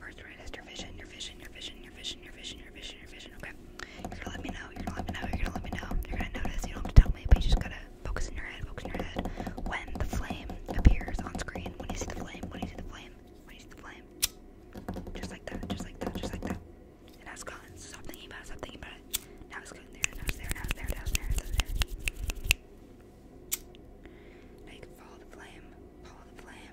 First, right is your vision, your vision, your vision, your vision, your vision, your vision, your vision. Okay. You're gonna let me know. You're gonna let me know. You're gonna let me know. You're gonna notice. You don't have to tell me, but you just gotta focus in your head. Focus in your head. When the flame appears on screen, when you see the flame, when you see the flame, when you see the flame, just like that, just like that, just like that. And now it's gone. Stop thinking about it. Stop thinking about it. Now it's gone. There. Now it's there. Now it's there. Now it's there. Now it's there. Now you can follow the flame. Follow the flame.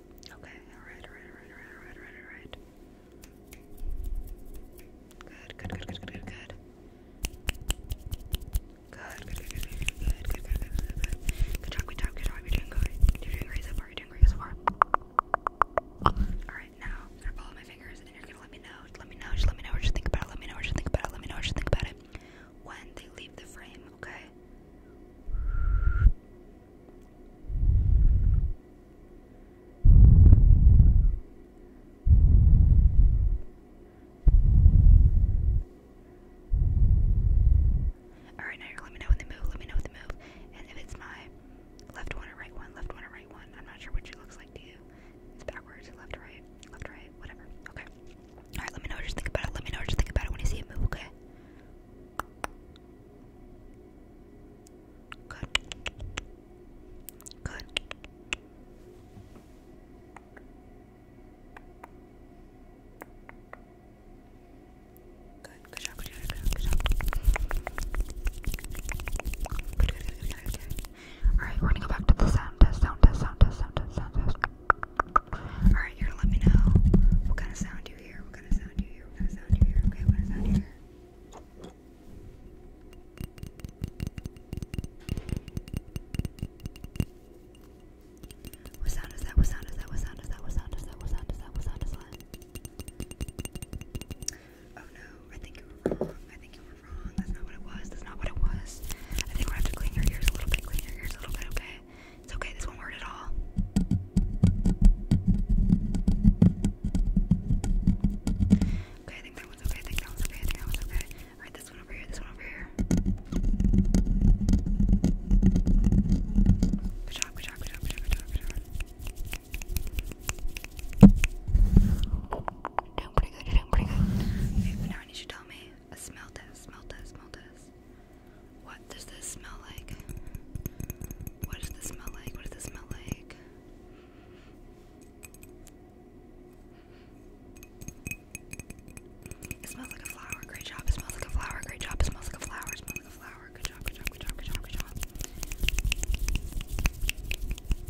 Okay, alright, alright, alright, alright, alright, alright, alright. Good, good, good, good, good, good, good. Good, good, good, good, good, good, good, good, good, good, good, good. Good job, good job, good job. You're doing good. You're doing great so far, you're doing great so far. Alright, now I'm gonna follow my fingers and you're gonna let me know. Let me know, just let me know what you think about it, let me know what you think about it, let me know what you think about it. When they leave the frame, okay? Alright, now let me know when they move. Let me know when they move. And if it's my left one or right one, left one or right one, I'm not sure which it looks like to you. It's backwards, left, right, left, right, whatever. Okay. Alright, let me know what you think about it. Let me know what you think about it when you see it move, okay? Good. Good. Good. Good job. Good job. Good job. Good, good, good, good, good, good. All right, we're gonna go back to the sound test. Sound test. Sound test. Sound test. Sound test. All right, you're gonna let me know what kind of sound you. What sound is that? What sound is that? What sound is that? What sound is that? What sound is that? What sound is that? Oh no, I think you were wrong. I think you were wrong. That's not what it was. That's not what it was. I think we have to clean your ears a little bit. Clean your ears a little bit, okay? It's okay, this one worked at all. Okay, I think that one's okay. I think that one's okay. I think that one's okay. Alright, this one over here, this one over here. Good job, good job, good job, good job, good job, good job. Doing pretty good, you're doing pretty good. Okay, but now I need you to tell me a smell test, smell test, smell test. What does this smell like? What does this smell like? What does this smell like? It smells like a flower. Great job. It smells like a flower. Great job. It smells like a flower. It smells like a flower. Good job. Good job. Good job. Good job. Good job.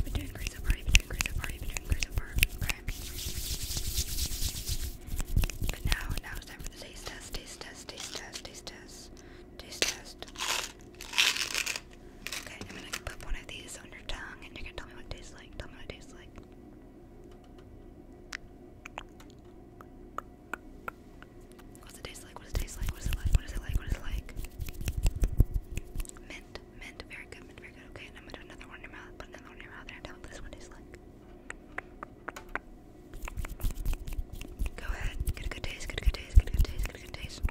Been doing great so Okay. But now, now it's time for the taste test. Taste test. Taste test. Taste test test, taste test. Okay, I'm gonna put one of these on your tongue and you're gonna tell me what it tastes like. Tell me what it tastes like. What's it taste like? What does it taste like? What is it like? What is it like? What is it like? Mint, mint, very good, very good. Okay, and I'm gonna do another one in your mouth, put another one in your mouth, and tell me what this one tastes like. Go ahead, get a good taste, get a good taste, get a good taste, get a good taste.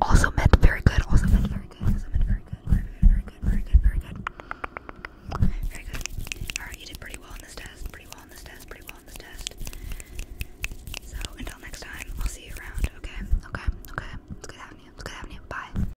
Also meant very good, also meant very good, also meant very good, very good, very good, very good, very good. Very good. Alright, you did pretty well on this test, pretty well on this test, pretty well on this test. So until next time, I'll see you around, okay? Okay, okay. good having good having Bye.